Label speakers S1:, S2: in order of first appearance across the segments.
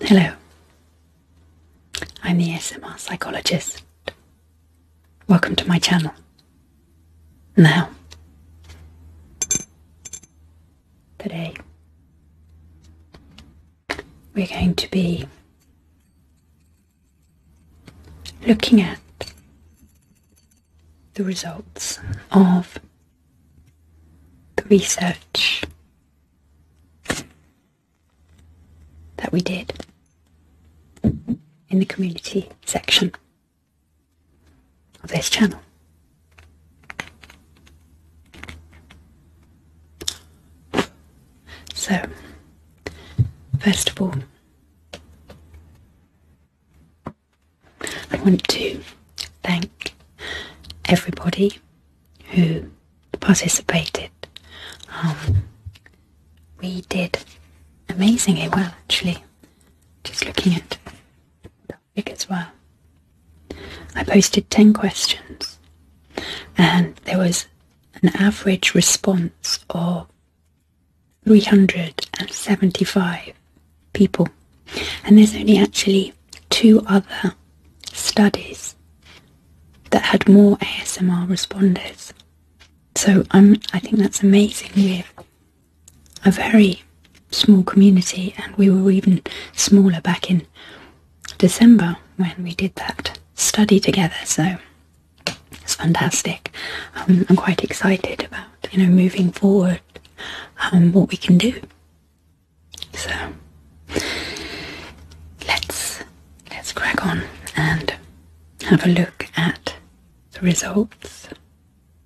S1: Hello, I'm the SMR psychologist. Welcome to my channel. Now, today we're going to be looking at the results of the research that we did in the community section of this channel. So, first of all, I want to thank everybody who participated. Um, we did amazingly well, actually. Just looking at the figures, well, I posted ten questions, and there was an average response of 375 people, and there's only actually two other studies that had more ASMR responders. So I'm I think that's amazing We have a very small community and we were even smaller back in December when we did that study together so it's fantastic. Um, I'm quite excited about you know moving forward um, what we can do so let's let's crack on and have a look at the results.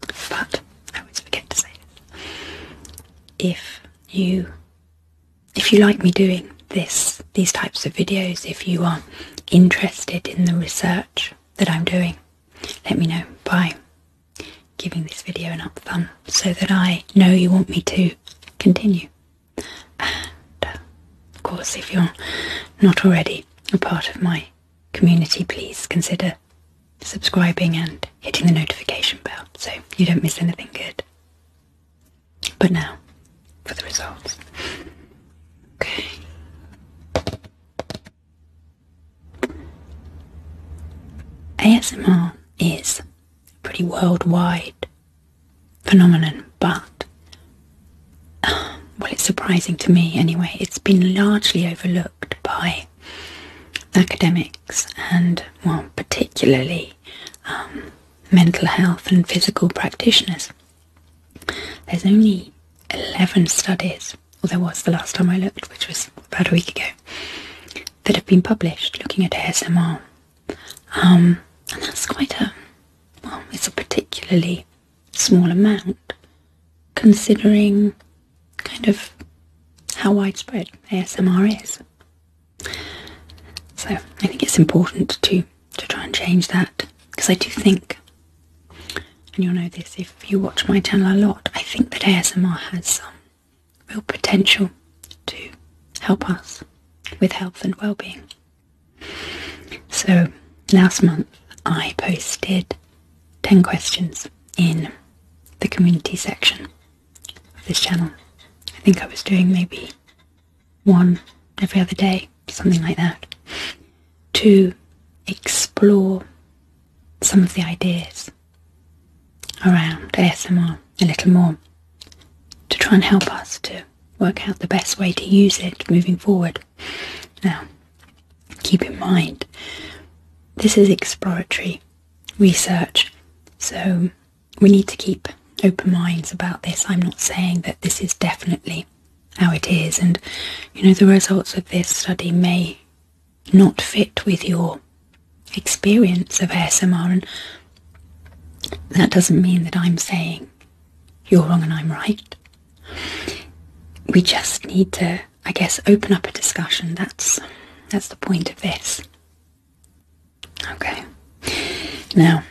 S1: But I always forget to say this. If you if you like me doing this these types of videos, if you are interested in the research that I'm doing, let me know Bye giving this video an up thumb so that I know you want me to continue. And uh, of course, if you're not already a part of my community, please consider subscribing and hitting the notification bell so you don't miss anything good. But now for the results. Okay. ASMR is pretty worldwide phenomenon, but well, it's surprising to me anyway. It's been largely overlooked by academics and, well, particularly um, mental health and physical practitioners. There's only 11 studies, or there was the last time I looked, which was about a week ago, that have been published looking at ASMR. Um, and that's quite a, well, it's a particularly small amount considering kind of how widespread ASMR is. So I think it's important to, to try and change that because I do think, and you'll know this if you watch my channel a lot, I think that ASMR has some real potential to help us with health and well-being. So last month I posted 10 questions in the community section of this channel. I think I was doing maybe one every other day, something like that, to explore some of the ideas around ASMR a little more to try and help us to work out the best way to use it moving forward. Now, keep in mind, this is exploratory research, so we need to keep open minds about this. I'm not saying that this is definitely how it is, and you know, the results of this study may not fit with your experience of ASMR. And that doesn't mean that I'm saying you're wrong and I'm right. We just need to, I guess, open up a discussion. That's that's the point of this. Okay. Now,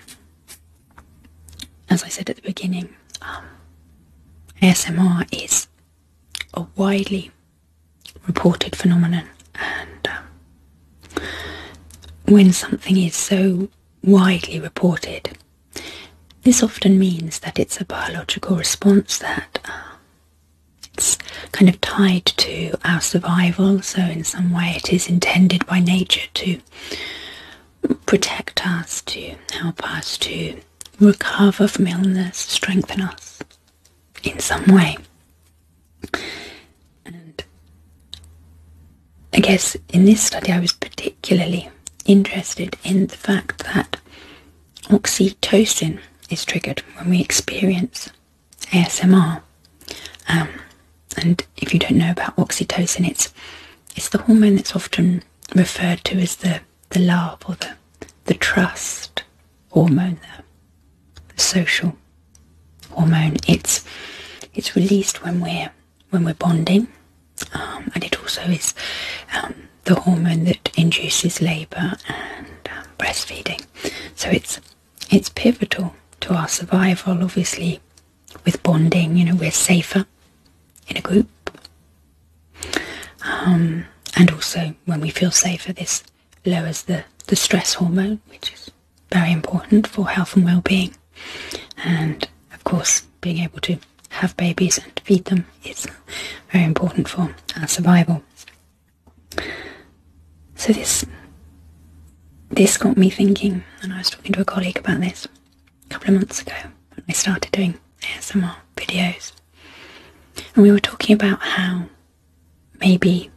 S1: as I said at the beginning, um, ASMR is a widely reported phenomenon. And um, when something is so widely reported, this often means that it's a biological response that um, it's kind of tied to our survival. So, in some way, it is intended by nature to protect us, to help us to recover from illness, strengthen us in some way. And I guess in this study, I was particularly interested in the fact that oxytocin is triggered when we experience ASMR. Um, and if you don't know about oxytocin, it's it's the hormone that's often referred to as the the love or the the trust hormone there, the social hormone. It's it's released when we're when we're bonding, um, and it also is um, the hormone that induces labour and um, breastfeeding. So it's it's pivotal to our survival. Obviously, with bonding, you know, we're safer in a group, and also when we feel safer, this lowers the, the stress hormone, which is very important for health and well-being. And of course, being able to have babies and feed them is very important for our survival. So this this got me thinking, and I was talking to a colleague about this a couple of months ago when I started doing ASMR videos. And we were talking about how Maybe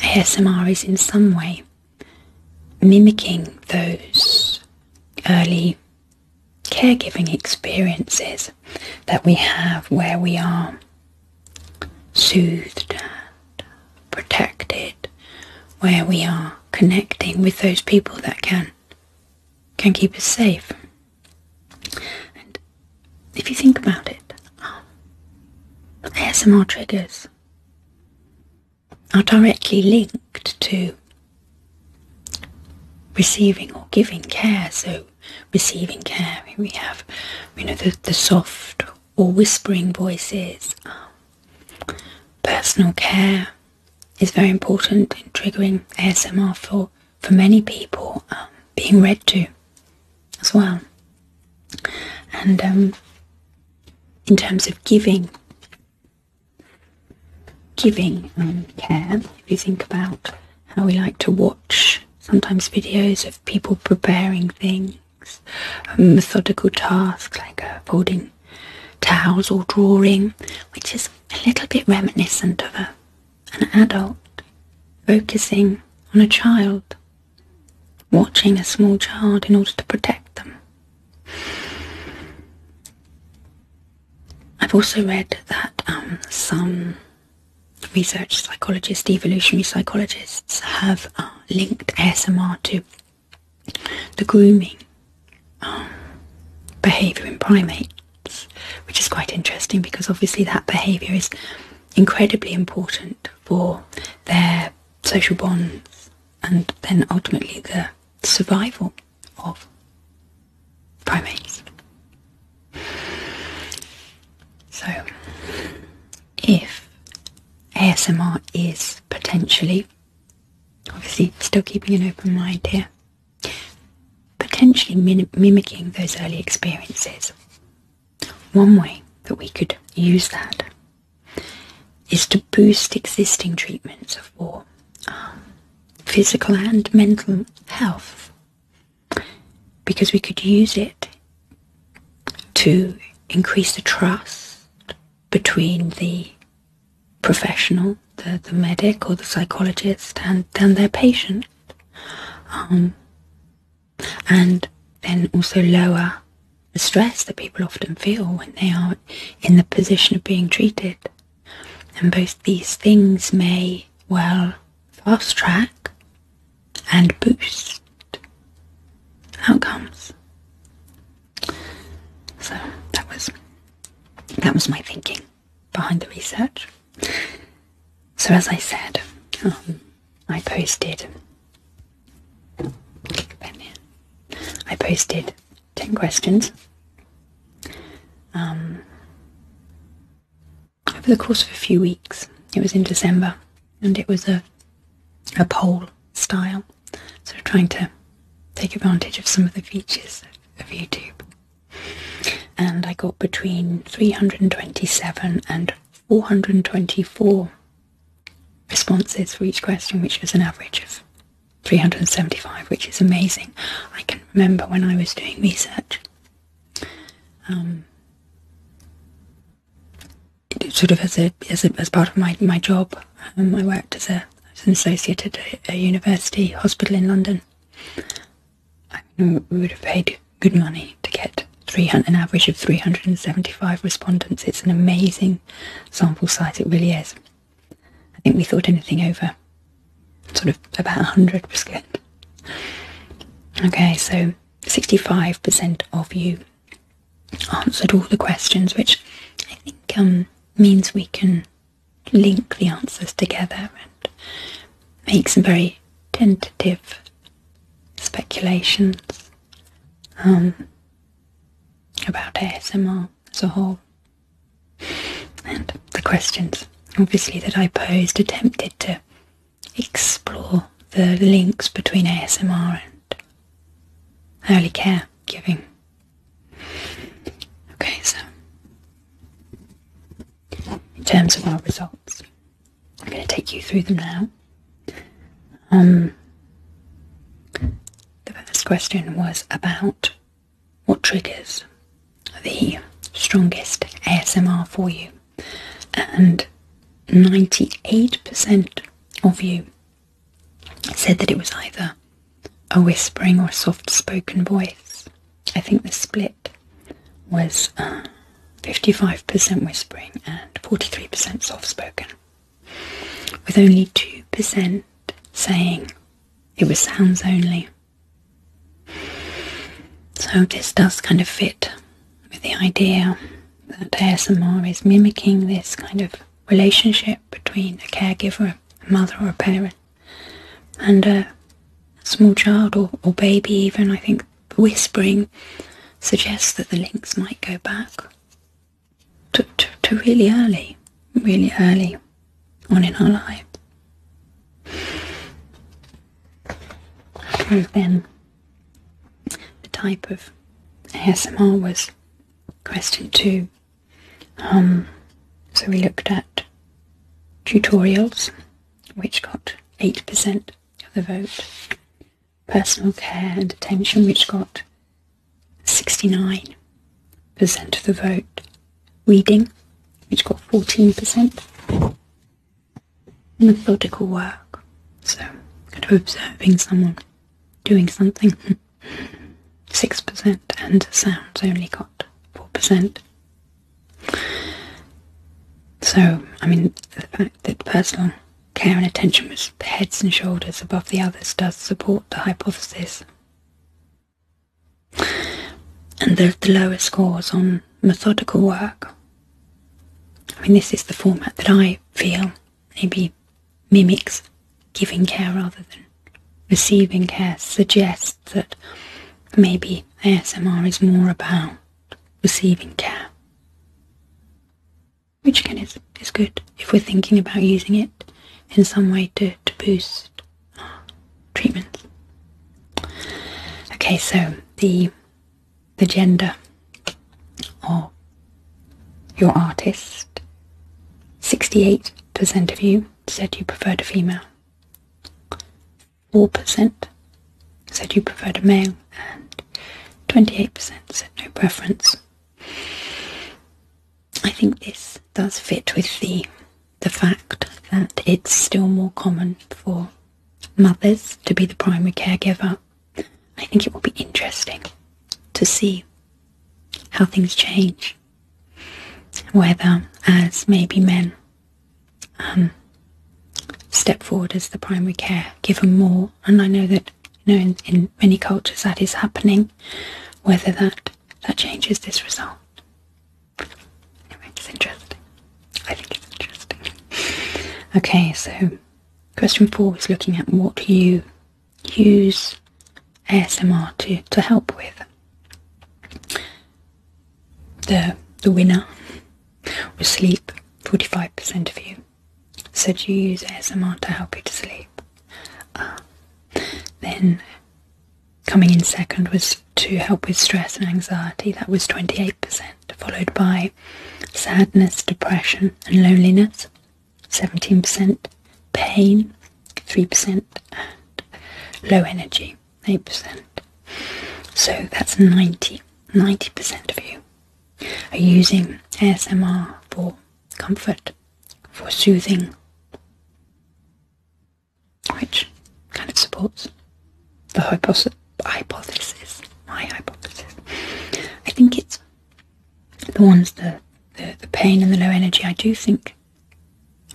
S1: ASMR is in some way mimicking those early caregiving experiences that we have where we are soothed protected, where we are connecting with those people that can can keep us safe if you think about it, ASMR triggers are directly linked to receiving or giving care. So, receiving care, we have, you know, the, the soft or whispering voices. personal care is very important in triggering ASMR for for many people um, being read to as well. And um, in terms of giving, giving um, care, if you think about how we like to watch sometimes videos of people preparing things, methodical tasks like uh, folding towels or drawing, which is a little bit reminiscent of a an adult focusing on a child, watching a small child in order to protect them. I've also read that um, some research psychologists, evolutionary psychologists, have uh, linked ASMR to the grooming um, behavior in primates, which is quite interesting because obviously that behavior is incredibly important for their social bonds and then ultimately the survival of primates. So, if ASMR is potentially, obviously still keeping an open mind here, potentially mimicking those early experiences one way that we could use that is to boost existing treatments of um, physical and mental health, because we could use it to increase the trust between the professional, the, the medic or the psychologist, and, and their patient. Um, and then also lower the stress that people often feel when they are in the position of being treated. And both these things may well fast track and boost outcomes. So that was that was my thinking behind the research. So, as I said, um, I posted. I posted 10 questions um, over the course of a few weeks. It was in December and it was a, a poll style, sort of trying to take advantage of some of the features of YouTube. And I got between 327 and 424 responses for each question, which was an average of 375, which is amazing. I can remember when I was doing research, It um, sort of as a as part of my my job, um, I worked as an associate at a university hospital in London, we would have paid good money to get 300, an average of 375 respondents. It's an amazing sample size, it really is. I think we thought anything over sort of about 100 was good. Okay, so 65% of you answered all the questions, which I think um, means we can link the answers together and make some very tentative speculations um, about ASMR as a whole. And the questions, obviously, that I posed attempted to explore the links between ASMR and early care giving. Okay, so in terms of our results. I'm going to take you through them now. Um, the first question was about what triggers the strongest ASMR for you, and 98% of you said that it was either a whispering or a soft spoken voice, I think the split was 55% uh, whispering and 43% soft spoken, with only 2% saying it was sounds only. So, this does kind of fit with the idea that ASMR is mimicking this kind of relationship between a caregiver, a mother, or a parent, and a small child or baby, even. I think whispering suggests that the links might go back to, to, really early, really early on in our life. then the type of ASMR was question two. Um, so we looked at tutorials, which got 8% of the vote. Personal care and attention, which got 69% of the vote. Reading, which got 14%. Methodical work, so kind observing someone doing something, 6%, and sounds only got 4%. So, I mean, the fact that personal care and attention was heads and shoulders above the others does support the hypothesis. And the, lowest scores on methodical work. I mean, this is the format that I feel maybe mimics giving care rather than receiving care, suggests that maybe ASMR is more about receiving care, which again is, is good if we're thinking about using it in some way to, to boost treatments. Okay, so the the gender of your artist. 68% of you said you preferred a female. 4% said you preferred a male, and 28% said no preference. I think this does fit with the the fact that it's still more common for mothers to be the primary caregiver. I think it will be interesting to see how things change. Whether as may be men um, step forward as the primary care, given more. And I know that you in, many cultures that is happening. Whether that that changes this result, anyway, it's interesting. I think it's interesting. okay, so question four is looking at what you use ASMR to to help with the the winner was sleep. Forty five percent of you said you use ASMR to help you to sleep. Ah. then coming in second was to help with stress and anxiety. That was twenty eight percent, followed by sadness, depression, and loneliness. Seventeen percent pain, three percent, and low energy. 8%. So that's 90, percent of you are using ASMR for comfort, for soothing, which kind of supports the hypothesis, my hypothesis. I think it's the ones, the, the, the pain and the low energy, I do think,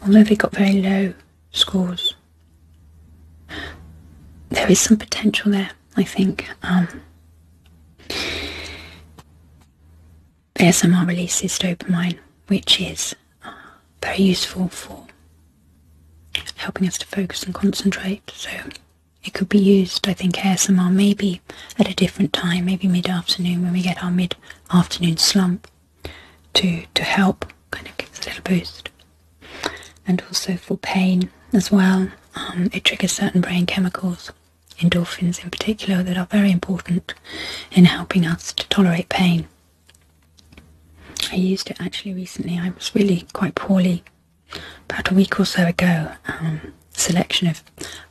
S1: although they got very low scores there is some potential there, I think. ASMR um, releases dopamine, which is uh, very useful for helping us to focus and concentrate. So it could be used, I think, ASMR maybe at a different time, maybe mid afternoon when we get our mid afternoon slump to, to help kind of gives a little boost. And also for pain as well, um, it triggers certain brain chemicals, endorphins in particular, that are very important in helping us to tolerate pain. I used it actually recently. I was really quite poorly about a week or so ago. Um, selection of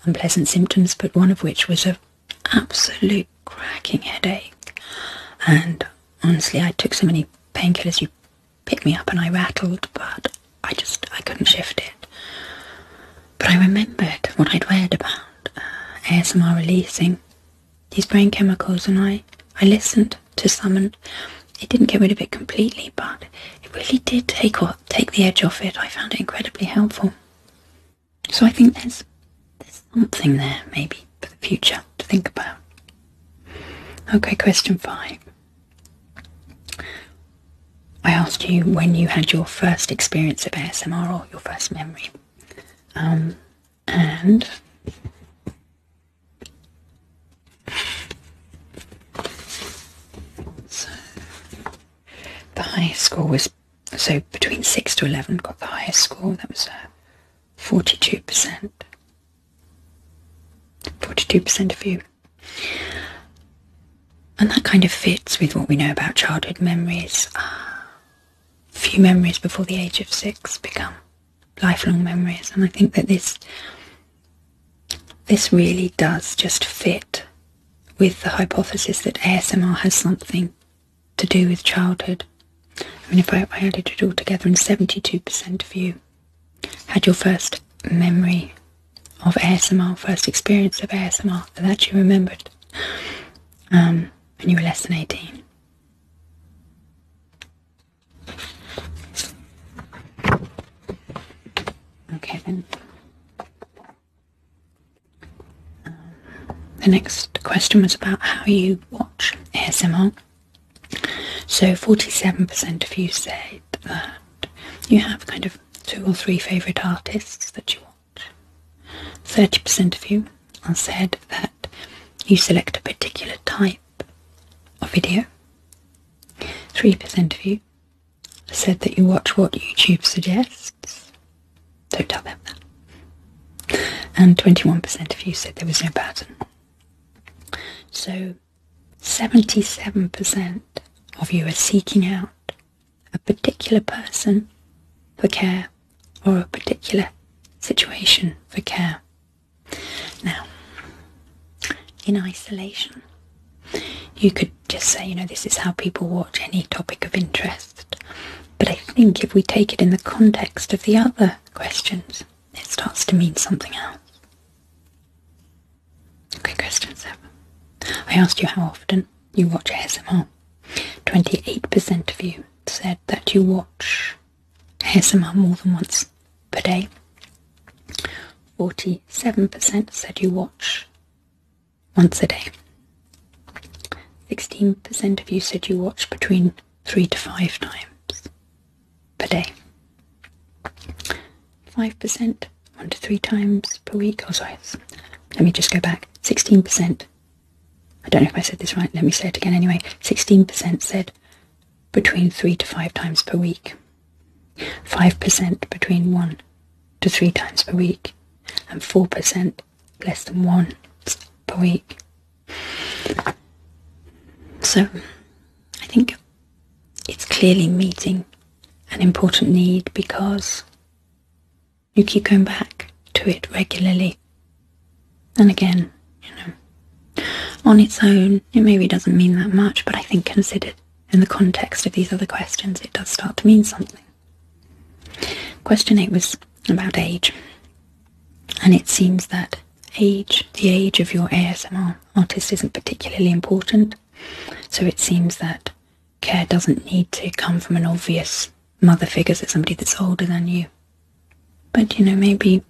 S1: unpleasant symptoms, but one of which was an absolute cracking headache. And Honestly, I took so many painkillers you picked me up and I rattled, but I just, I couldn't shift it. But I remembered what I'd read about uh, ASMR releasing these brain chemicals and I, I listened to some and it didn't get rid of it completely, but it really did take, or, take the edge off it. I found it incredibly helpful. So I think there's something there maybe for the future to think about. Okay, question five. I asked you when you had your first experience of ASMR or your first memory. Um, and the highest score was so between 6 to 11 got the highest score that was uh, 42%. 42% of you. And that kind of fits with what we know about childhood memories. Uh, few memories before the age of six become lifelong memories, and I think that this this really does just fit with the hypothesis that ASMR has something to do with childhood. I mean, if I, added it all together, and 72% of you had your first memory of ASMR, first experience of ASMR that you remembered um, when you were less than 18. Okay, then. Um, the next question was about how you watch ASMR. So 47% of you said that you have kind of two or three favourite artists that you watch. 30% of you said that you select a particular type of video. 3% of you said that you watch what YouTube suggests. Don't tell them that. And 21% of you said there was no pattern. So 77% of you are seeking out a particular person for care or a particular situation for care. Now, in isolation, you could just say, you know, this is how people watch any topic of interest. But I think if we take it in the context of the other questions, it starts to mean something else. Okay, question I asked you how often you watch ASMR. 28% of you said that you watch ASMR more than once per day. 47% said you watch once a day. 16% of you said you watch between three to five times per day. 5% one to three times per week. Oh, sorry, let me just go back. 16%. I don't know if I said this right, let me say it again anyway. 16% said between three to five times per week, 5% between one to three times per week, and 4% less than once per week. So, I think it's clearly meeting an important need because you keep going back to it regularly. And again, you know, on its own, it maybe doesn't mean that much, but I think considered in the context of these other questions, it does start to mean something. Question 8 was about age, and it seems that age, the age of your ASMR artist isn't particularly important, so it seems that care doesn't need to come from an obvious mother figure, that's somebody that's older than you. But you know, maybe,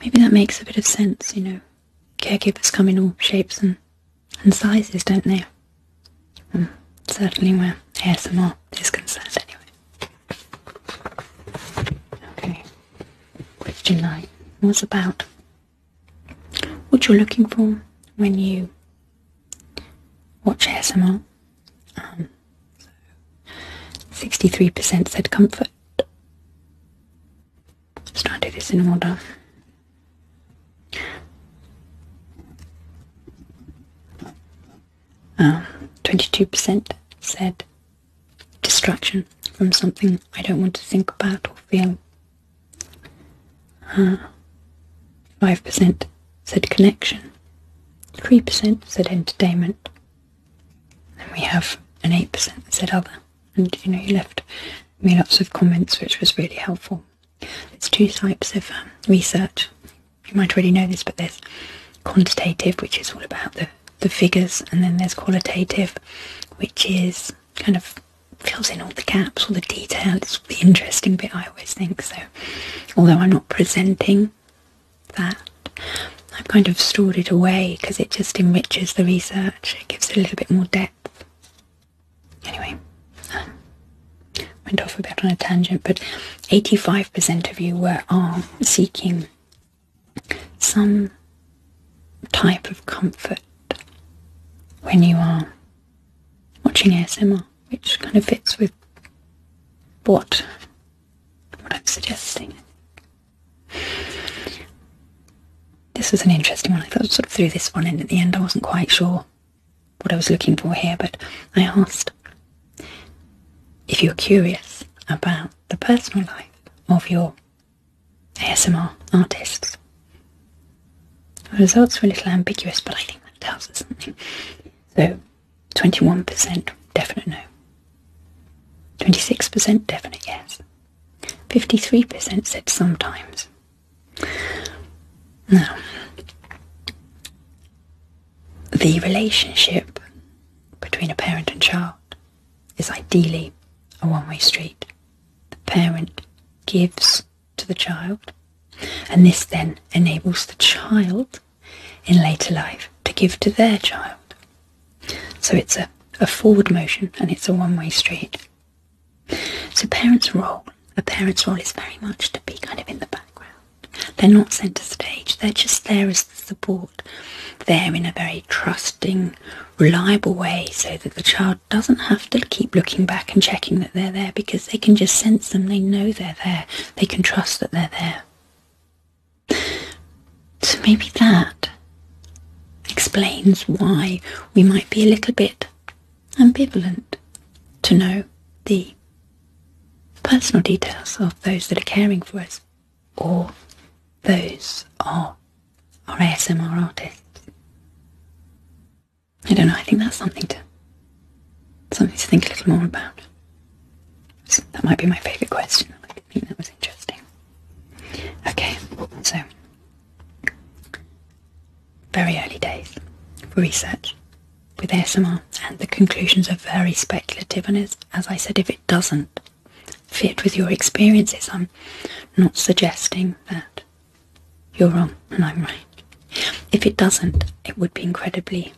S1: maybe that makes a bit of sense. You know, caregivers come in all shapes and and sizes, don't they? Mm, certainly, where ASMR his consent anyway. Okay. Question nine was about what you're looking for when you watch ASMR. Um, 63% said comfort. Let's try and do this in order. 22% um, said distraction from something I don't want to think about or feel. 5% said connection, 3% said entertainment, and we have an 8% said other. And you know, you left me lots of comments, which was really helpful. It's two types of um, research you might already know this, but there's quantitative, which is all about the, the figures, and then there's qualitative, which is kind of fills in all the gaps, all the details. the interesting bit, I always think. So, although I'm not presenting that, I've kind of stored it away because it just enriches the research, it gives it a little bit more depth. Anyway, um, went off a bit on a tangent, but 85% of you were, are seeking some type of comfort when you are watching ASMR, which kind of fits with what, what I'm suggesting. This was an interesting one. I thought I sort of threw this one in at the end. I wasn't quite sure what I was looking for here, but I asked if you're curious about the personal life of your ASMR artists, the results were a little ambiguous, but I think that tells us something. So, 21% definite no, 26% definite yes, 53% said sometimes. Now, the relationship between a parent and child is ideally a one way street. The parent gives to the child, and this then enables the child in later life to give to their child. So it's a, a forward motion and it's a one way street. So, parents' role, a parent's role is very much to be kind of in the background, they're not centre stage, they're just there as the support, there in a very trusting, reliable way so that the child doesn't have to keep looking back and checking that they're there because they can just sense them, they know they're there, they can trust that they're there. So maybe that explains why we might be a little bit ambivalent to know the personal details of those that are caring for us or those are our ASMR artists. I don't know, I think that's something to something to think a little more about. that might be my favourite question. I think that was interesting. Okay, so very early days for research with ASMR and the conclusions are very speculative and as, as I said if it doesn't fit with your experiences. I'm not suggesting that you're wrong and I'm right. If it doesn't, it would be incredibly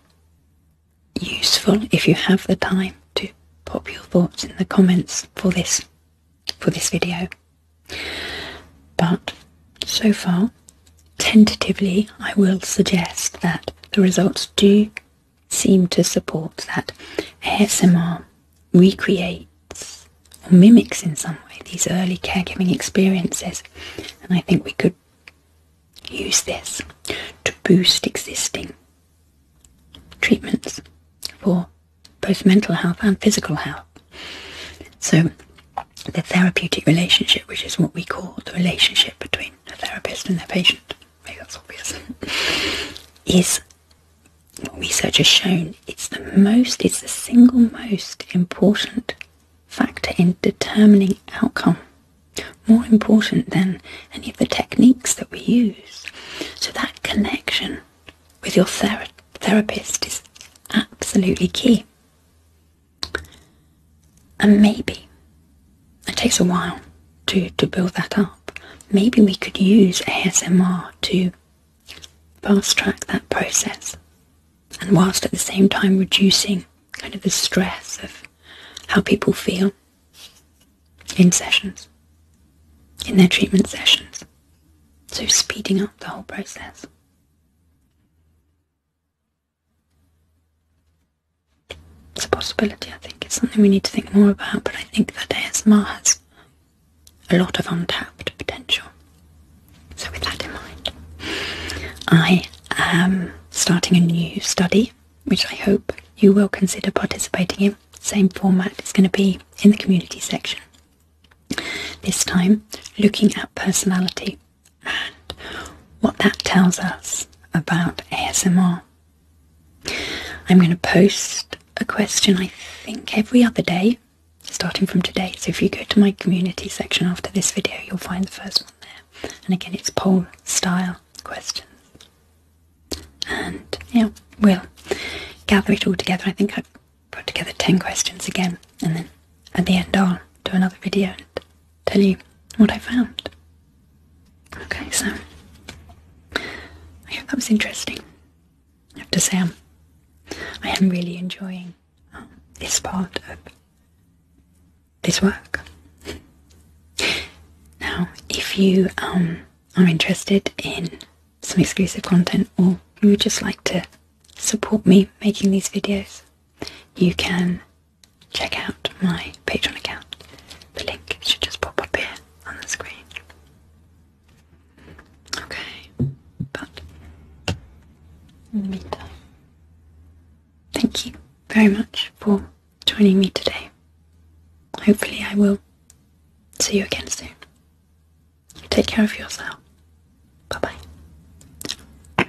S1: useful if you have the time to pop your thoughts in the comments for this for this video. But so far, tentatively, I will suggest that the results do seem to support that ASMR recreates or mimics in some way these early caregiving experiences, and I think we could use this to boost existing treatments for both mental health and physical health. So, the therapeutic relationship, which is what we call the relationship between a therapist and their patient, Is what research has shown it's the most, it's the single most important factor in determining outcome. More important than any of the techniques that we use. So that connection with your therapist is absolutely key. And maybe it takes a while to, to build that up. Maybe we could use ASMR to fast track that process and whilst at the same time reducing kind of the stress of how people feel in sessions, in their treatment sessions. So speeding up the whole process. It's a possibility. I think it's something we need to think more about, but I think that ASMR has a lot of untapped potential. So, with that in mind, I am starting a new study which I hope you will consider participating in. Same format is going to be in the community section. This time, looking at personality and what that tells us about ASMR I'm going to post a question, I think, every other day, starting from today. So if you go to my community section after this video, you'll find the first one there. And again, it's poll style questions. And yeah, we'll gather it all together. I think I've put together 10 questions again, and then at the end, I'll do another video tell you what I found. Okay, so I hope that was interesting. I have to say, I'm, I am really enjoying um, this part of this work. Now, if you um, are interested in some exclusive content or you would just like to support me making these videos, you can check out my Patreon account. The link should just pop up here on the screen. Okay, but in the meantime, thank you very much for joining me today. Hopefully, I will see you again soon. Take care of yourself. Bye bye.